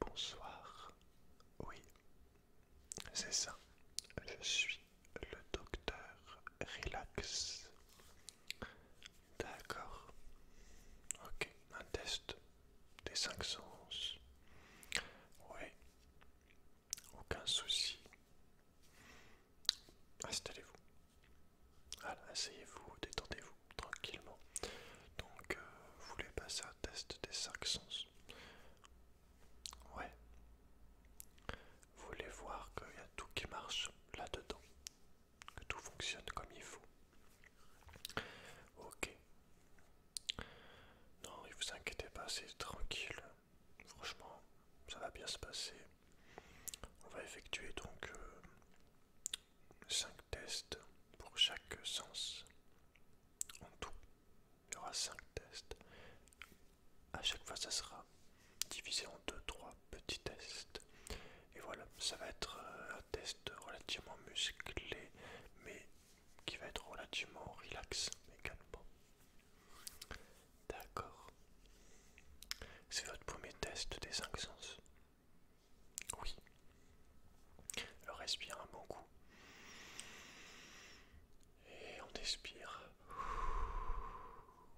Bonsoir. Oui, c'est ça. Je suis le docteur Relax. D'accord. Ok, un test des cinq sens. Oui, aucun souci. Installez-vous. Voilà, asseyez-vous, détendez-vous tranquillement. Donc, euh, vous voulez passer un test des cinq sens Ouais. Vous voulez voir qu'il y a tout qui marche là-dedans, que tout fonctionne comme il faut. Ok. Non, ne vous inquiétez pas, c'est tranquille. Franchement, ça va bien se passer. On va effectuer donc euh, 5 tests pour chaque sens. En tout, il y aura 5 tests. À chaque fois, ça sera divisé en 2-3 petits tests. Et voilà, ça va être euh, un test relativement musclé, mais qui va être relativement relax également. D'accord. C'est votre premier test des 5 sens. Oui. Alors respire un bon coup. Et on expire.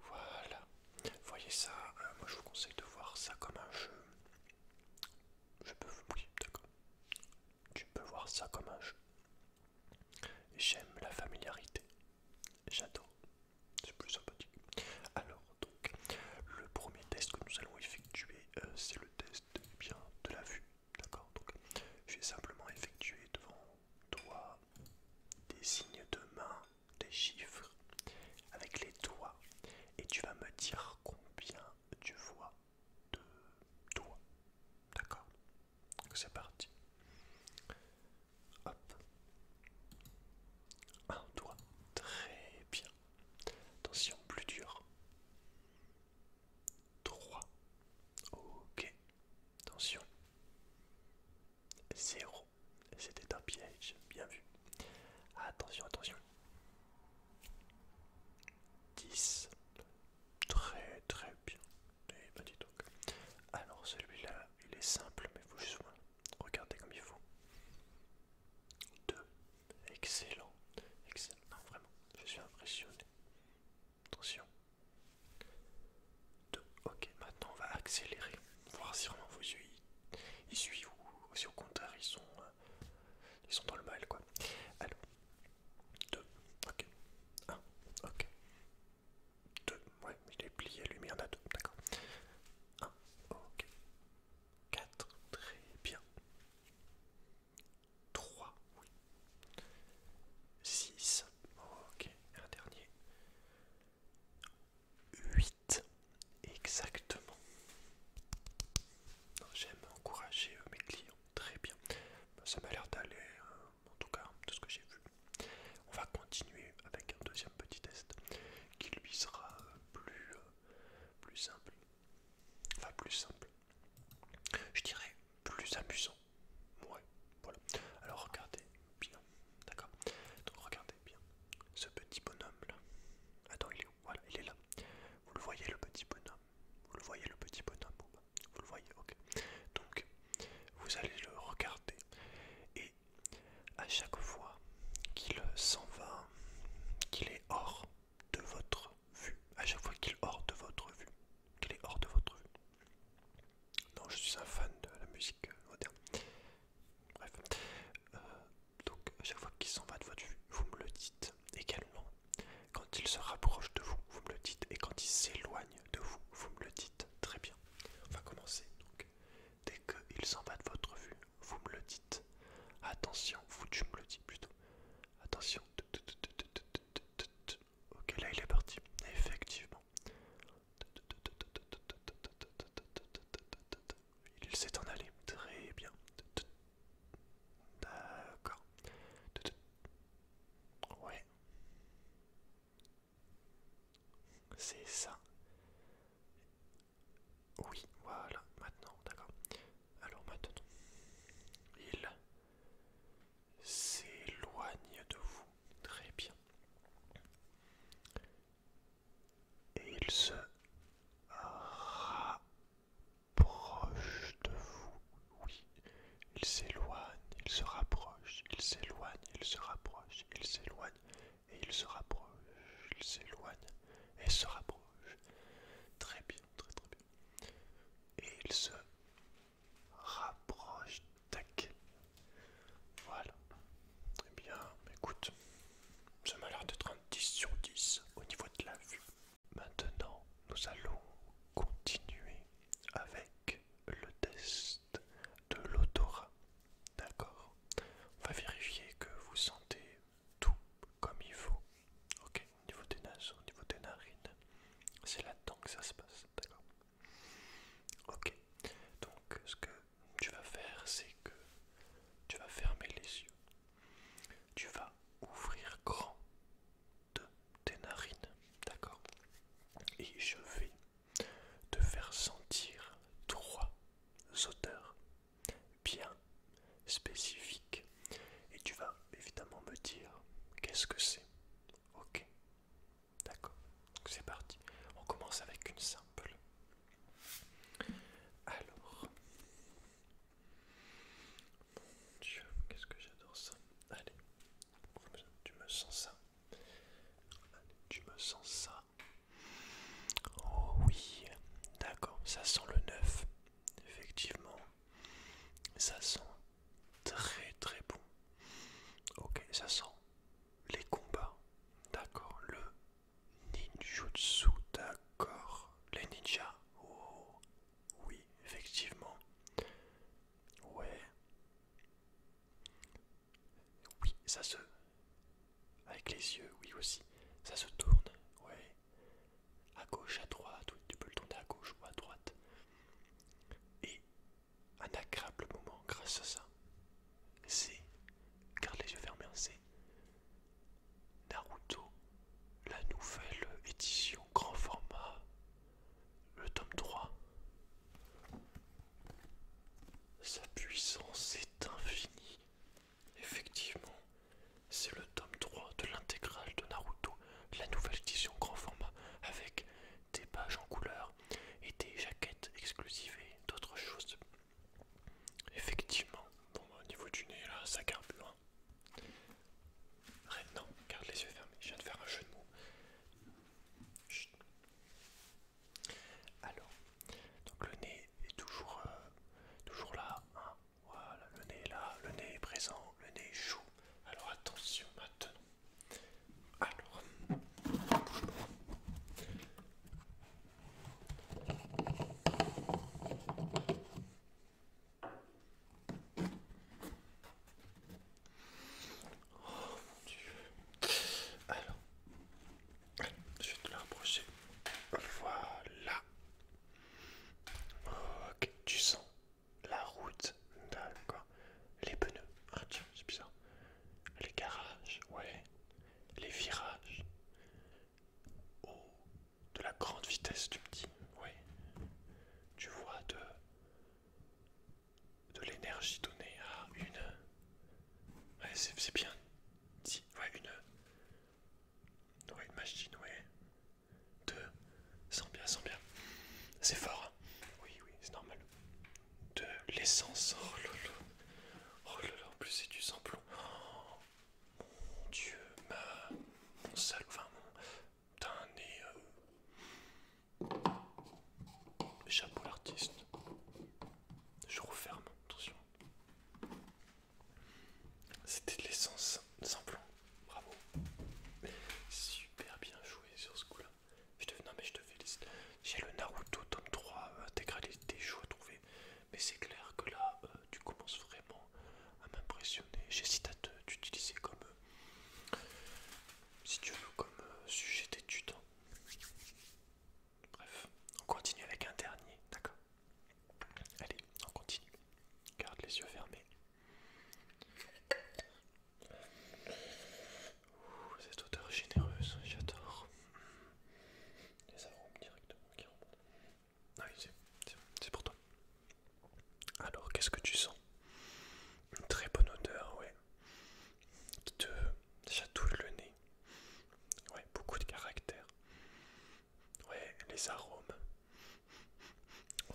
Voilà. Voyez ça, hein, moi je vous conseille de voir ça comme un jeu. Je peux vous oui, d'accord. Tu peux voir ça comme un jeu. J'aime la familiarité. J'adore. C'est plus sympathique. Alors donc, le premier test que nous allons effectuer, euh, c'est le test bien de la vue, d'accord Donc, je vais simplement effectuer devant toi des signes de main, des chiffres avec les doigts, et tu vas me dire combien tu vois de doigts, d'accord C'est parti. Hop. Un doigt. Très bien. Attention, plus dur. 3. Ok. Attention. 0. C'était un piège. Bien vu. Attention, attention. 10. Très très bien. Et eh bah ben, dis donc. Alors celui-là, il est simple, mais il faut juste... Regardez comme il faut. 2, Excellent. Excellent. Ah, vraiment, je suis impressionné. Attention. 2, Ok, maintenant on va accélérer. Voir si vraiment vos yeux ils suivent ou si au contraire ils sont, euh, ils sont dans le mal quoi. Alors. 2, ok, 1, ok, 2, ouais, il est plié, lui, lumière il a 2, d'accord, 1, ok, 4, très bien. 3, oui. 6, ok, un dernier. 8, exactement. J'aime encourager euh, mes clients, très bien. Ben, ça m'a l'air d'aller, euh, en tout cas, de ce que j'ai vu. On va continuer avec un deuxième petit test qui lui sera euh, plus, plus simple. Enfin, plus simple. Je dirais plus amusant. Ouais, voilà. Alors, regardez bien. D'accord Donc, regardez bien ce petit bonhomme là. Attends, il est où Voilà, il est là. Vous le voyez, le petit bonhomme Vous le voyez, le petit bonhomme bah, Vous le voyez, ok. Donc, vous allez le regarder et à chaque fois qu'il s'en va, qu'il est hors de votre vue, à chaque fois qu'il est hors de votre vue, qu'il est hors de votre vue. Non, je suis un fan de la musique euh, moderne. Bref, euh, donc à chaque fois qu'il s'en va de votre vue, vous me le dites également. Quand il se rapproche de vous, vous me le dites, et quand il s'éloigne de vous, vous me le dites. Très bien. On va commencer donc. Dès qu'il s'en va de votre vue, vous me le dites. Attention, vous tu me le dis plutôt. Attention. Ok, là il est parti. Effectivement. Il s'est en allé. Très bien. D'accord. Ouais. C'est ça. Oui, voilà, maintenant, d'accord. Alors maintenant, il s'éloigne de vous. Très bien. Et il se rapproche de vous. Oui, il s'éloigne, il se rapproche, il s'éloigne, il se rapproche, il s'éloigne, et il se rapproche, il s'éloigne, et se rapproche. Très bien, très très bien. Et il se rapproche. Tac. Voilà. Très bien, écoute, ça m'a l'air de 30 sur 10 au niveau de la vue. Maintenant, nous allons continuer avec le test de l'odorat. D'accord On va vérifier que vous sentez tout comme il faut. Ok, au niveau des nages, au niveau des narines, c'est là-dedans que ça se passe, d'accord Ok, donc euh, ce que tu vas faire, c'est que tu vas fermer les yeux, tu vas ouvrir grand de tes narines, d'accord Et je vais te faire sentir trois odeurs bien spécifique. Et tu vas évidemment me dire qu'est-ce que c'est. Ok. D'accord. C'est parti. On commence avec une simple. Alors. Mon Dieu, qu'est-ce que j'adore ça. Allez. Tu me sens ça. tu me sens ça. Oh oui, d'accord, ça sent le neuf, effectivement. Ça sent très très bon. Ok, ça sent les combats, d'accord, le ninjutsu, d'accord, les ninjas, oh oui, effectivement. Ouais. Oui, ça se avec les yeux, oui aussi. Ça se tourne, ouais. À gauche, à droite, tu peux le tourner à gauche ou à droite. Et un agréable moment grâce à ça. C'est, garde les yeux fermés, c'est Naruto, la nouvelle édition grand format, le tome 3. Sa puissance est infinie. Effectivement, c'est le tome 3 de l'intégrale de Naruto, la nouvelle édition grand format, avec des pages en couleur et des jaquettes exclusives et d'autres choses. Effectivement, bon, bah, au niveau du nez, là, ça carbure. Hein. Non, garde les yeux fermés, je viens de faire un jeu de mots. Alors, donc le nez est toujours, euh, toujours là. Hein. Voilà, le nez est là, le nez est présent, le nez est chaud. Alors attention maintenant. Alors, Oh mon dieu. Alors, je vais te la rapprocher. Voilà. Ok, tu sens la route. D'accord. Les pneus. Ah tiens, c'est bizarre. Les garages, ouais. Les virages. Oh, de la grande vitesse, du petit. dis. Tu vois de, de l'énergie donnée à une Ouais, c'est bien. ouais, une. Ouais, une machine, ouais. Deux. sent bien, sent bien. C'est fort. Hein. Oui, oui, c'est normal. De l'essence. Oh lolo. Oh lolo, en plus c'est du sang plomb. Oh, mon dieu, ma. Mon sale. Enfin, mon. Putain, nez. Euh... Chapeau l'artiste. Je referme, attention. C'était de l'essence sans plomb. Bravo. Super bien joué sur ce coup-là. Je te... Non mais je te félicite. J'ai le Naruto tome 3 euh, intégralité chaud à trouver. Mais c'est clair que là, euh, tu commences vraiment à m'impressionner. J'hésite à t'utiliser comme... Euh, si tu veux, comme sujet d'étude. Bref, on continue avec un dernier, d'accord Allez, on continue. Garde les yeux fermés. Ouh, cette odeur généreuse, j'adore. Les arômes directement qui remontent. Ah oui, c'est pour toi. Alors, qu'est-ce que tu sens Une très bonne odeur, ouais. Qui te chatouille le nez. Ouais, beaucoup de caractère. Ouais, les arômes.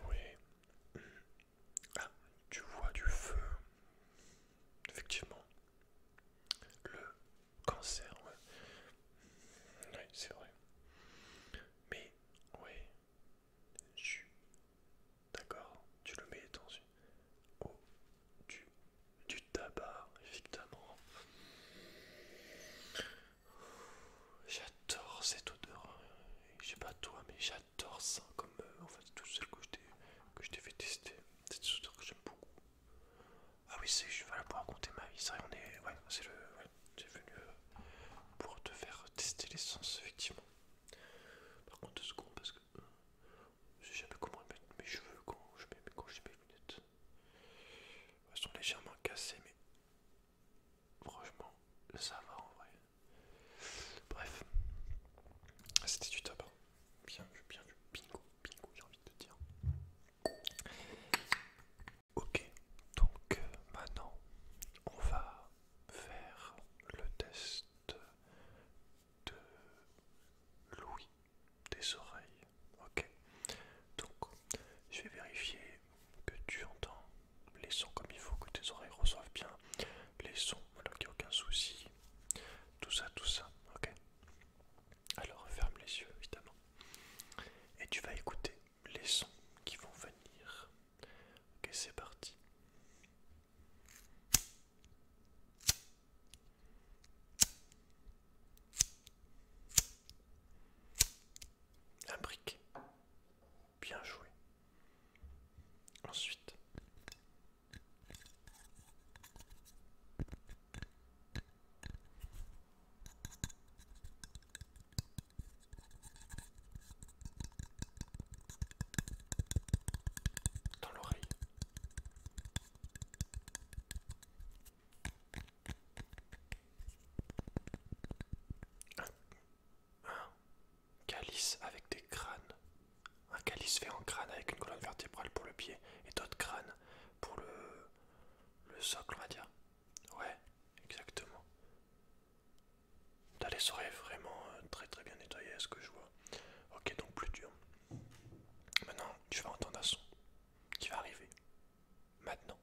Ouais. Ah, tu vois du feu. Effectivement. Le cancer, ouais. c'est vrai. Mais, ouais. D'accord, tu le mets dans une du, tabac, évidemment. J'adore cette odeur. Hein. Je sais pas toi, mais j'adore ça comme euh, en fait tout celles que je t'ai fait tester. C'est une que j'aime beaucoup. Ah oui, c'est je vais la pour raconter ma vie. on est. Ouais, c'est le. venu euh, pour te faire tester l'essence, effectivement. Par contre, deux secondes, parce que euh, je sais jamais comment mettre mes cheveux quand quand je mets mes lunettes. Elles sont légèrement cassées, mais franchement, ça va en vrai. Bref, c'était du top. Hein. Bien vu, bien vu. Bingo, bingo, j'ai envie de dire. Ok, donc euh, maintenant, on va faire le test de Louis des oreilles. Ok. Donc, je vais vérifier que tu entends les sons comme il faut, que tes oreilles reçoivent bien les sons, Donc qu'il n'y a aucun souci. Tout ça, tout ça. Ok. Alors, ferme les yeux, évidemment. Et tu vas écouter les sons qui vont venir. Ok, c'est parti. Un brique Bien joué. Ensuite. Dans l'oreille. Un calice avec des crânes. Un calice fait en crâne avec une colonne vertébrale pour le pied et d'autres crânes pour le, socle, on va dire. Ouais, exactement. D'aller les vraiment euh, très très bien nettoyées à ce que je vois. Ok, donc plus dur. Maintenant, tu vas entendre un son qui va arriver. Maintenant.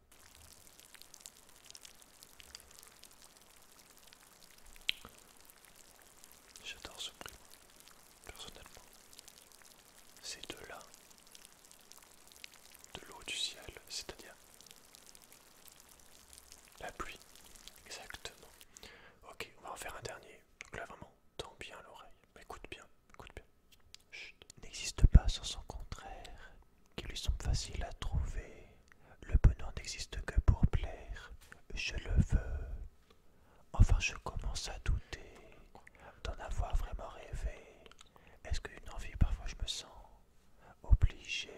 J'adore ce bruit, personnellement. C'est de là, de l'eau du ciel, c'est-à-dire la pluie. Exactement. Ok, on va en faire un dernier. Donc là, vraiment, tant bien l'oreille écoute bien, écoute bien. N'existe pas sans son contraire, qui lui semble facile à trouver. Le bonheur n'existe que pour plaire, je le veux. Enfin, je commence à douter d'en avoir vraiment rêvé. Est-ce qu'une envie, parfois, je me sens obligé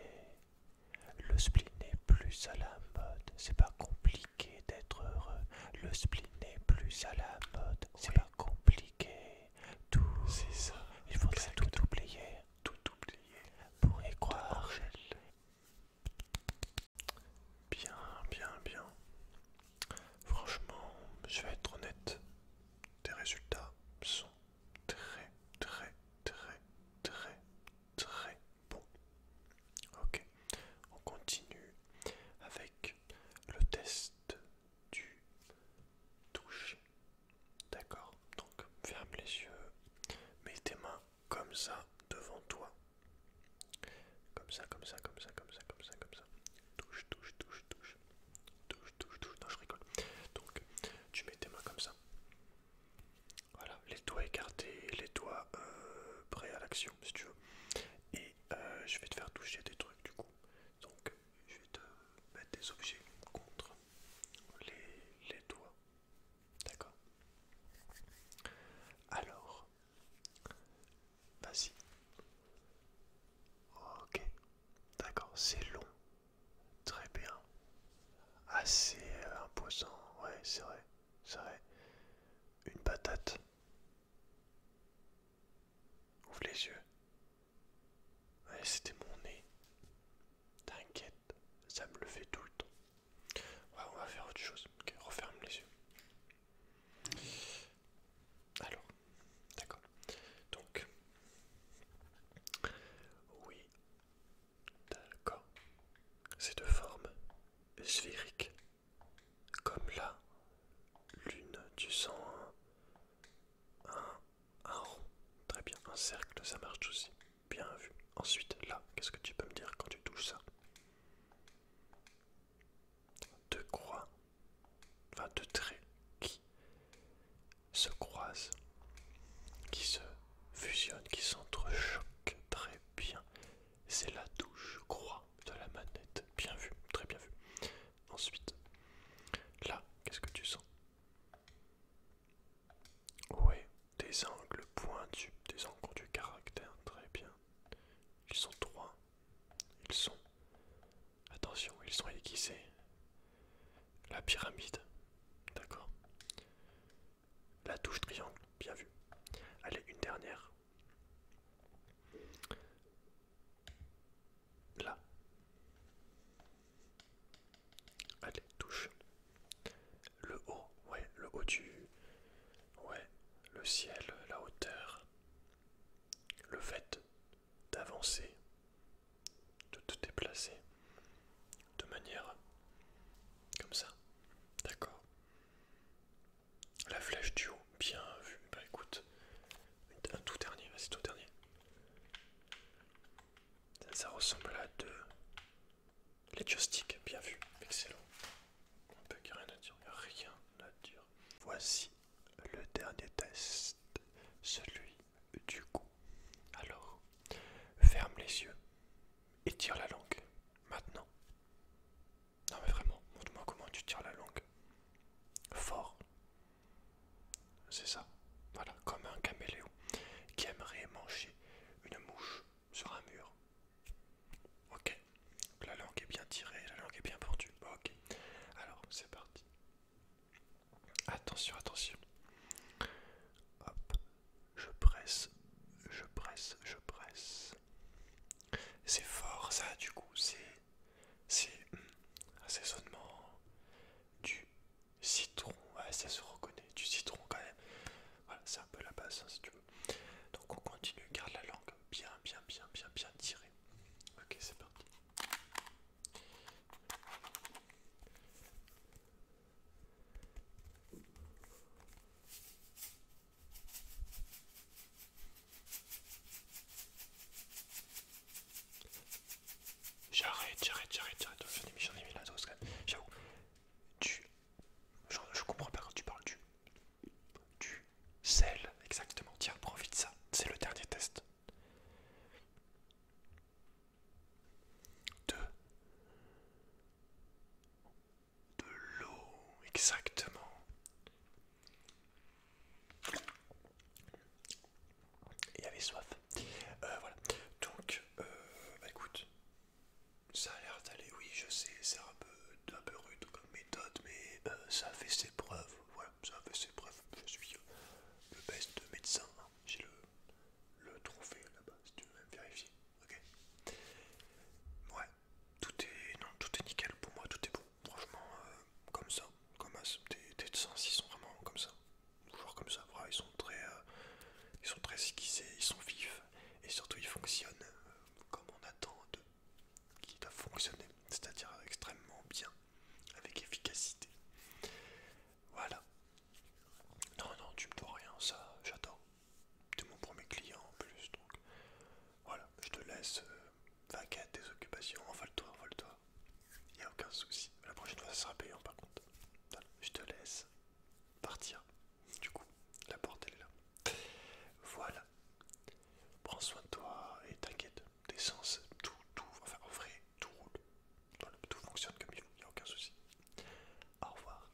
Le spleen est plus à la mode, c'est pas compliqué compliqué d'être heureux. Le spleen n'est plus à la mode. C'est pas compliqué. Tout. C'est ça. Il faut tout oublier. Tout oublier. Pour y croire. Bien, bien, bien. Franchement, je vais être honnête. Tes résultats sont très, très, très, très, très bons. Ok on continue avec le test du touche, D'accord Donc ferme les yeux, mets tes mains comme ça devant toi. Comme ça, comme ça, comme ça, comme ça, comme ça, comme ça. Touche, touche, touche, touche. Touche, touche, touche. Non, je rigole. Donc, tu mets tes mains comme ça. Voilà, les doigts écartés, les doigts euh, prêts à l'action, si tu veux. Euh, je vais te faire toucher des trucs du coup. Donc je vais te mettre des objets contre les, les doigts. D'accord Alors, vas-y. Ok, d'accord, c'est long. Très bien. Assez imposant, ouais, c'est vrai. C'est vrai. Une patate. Ouvre les yeux. c'était mon nez. T'inquiète, ça me le fait tout le temps. Ouais, on va faire autre chose. ok, referme les yeux. Alors, d'accord. Donc, oui, d'accord. C'est de forme sphérique comme là, lune tu sens un, rond très bien un cercle ça marche aussi bien vu ensuite là qu'est ce que tu peux me dire quand tu touches ça deux croix enfin deux traits qui se croisent qui se fusionnent qui s'entrechoquent très bien c'est la touche croix de la manette. Bien vu, très bien vu. Ensuite, là, qu'est-ce que tu sens Ouais, des angles pointus, des angles du caractère, très bien. Ils sont trois. Ils sont... Attention, ils sont aiguisés. La pyramide, d'accord. La touche triangle, bien vu. Allez, une dernière. Là. Allez, touche. Le haut, ouais, le haut du... Ouais, le ciel, la hauteur. Le fait d'avancer, de te déplacer de manière comme ça. D'accord la flèche du haut, bien vu. Bah écoute, un tout dernier, vas-y, tout dernier. Ça, ressemble à deux. Les joystick, bien vu, excellent. On peut rien à dire, rien à dire. Voici le dernier test, celui du goût. Alors, ferme les yeux, étire la langue. Maintenant, non mais vraiment, montre-moi comment tu tires la langue. Fort. C'est ça. Voilà, comme un caméléon qui aimerait manger une mouche sur un mur. Ok. la langue est bien tirée, la langue est bien pendue. Ok. Alors, c'est parti. Attention, attention. Hop. Je presse, je presse, je presse. C'est fort ça du coup, c'est... C'est hmm, assaisonnement du citron. Ouais, ça se reconnaît, du citron quand même. Voilà, c'est un peu la base hein, si tu veux. Donc on continue, garde la langue bien, bien, bien, bien, bien tirée. Ok, c'est parti. J'arrête, j'arrête, j'arrête, j'arrête. J'en ai mis, la dose J'avoue. tu, Je, comprends pas quand tu parles du. tu sel, exactement. Tiens, profite de ça. C'est le dernier test. Deux de l'eau, exactement. Il y avait soif. Euh, voilà. Donc, euh, bah, écoute, ça a l'air d'aller. Oui, je sais, c'est un peu, un peu rude comme méthode, mais euh, ça fait ses preuves. Voilà, ça fait ses preuves. Je suis le best médecin. Hein. J'ai le, le trophée là-bas, si tu veux même vérifier. Ok. Ouais, tout est, non, tout est nickel pour moi, tout est bon. Franchement, euh, comme ça, comme tes sens, ils sont vraiment comme ça. Toujours comme ça, ils sont très, euh, ils sont très esquissés, ils sont vifs et surtout ils fonctionnent euh, comme on attend de doivent fonctionner, c'est-à-dire extrêmement bien, avec efficacité. Voilà. Non, non, tu me dois rien, ça, j'adore de mon premier client en plus, donc voilà, je te laisse t'inquiète, euh, tes occupations, envole-toi, envole-toi. Il n'y a aucun souci. La prochaine fois, ça sera payant par contre. je te laisse partir. Du coup, la porte, elle est là. Voilà. Prends soin de toi et t'inquiète. Tes tout, tout, enfin en vrai, tout roule. tout fonctionne comme il faut, il n'y a aucun souci. Au revoir.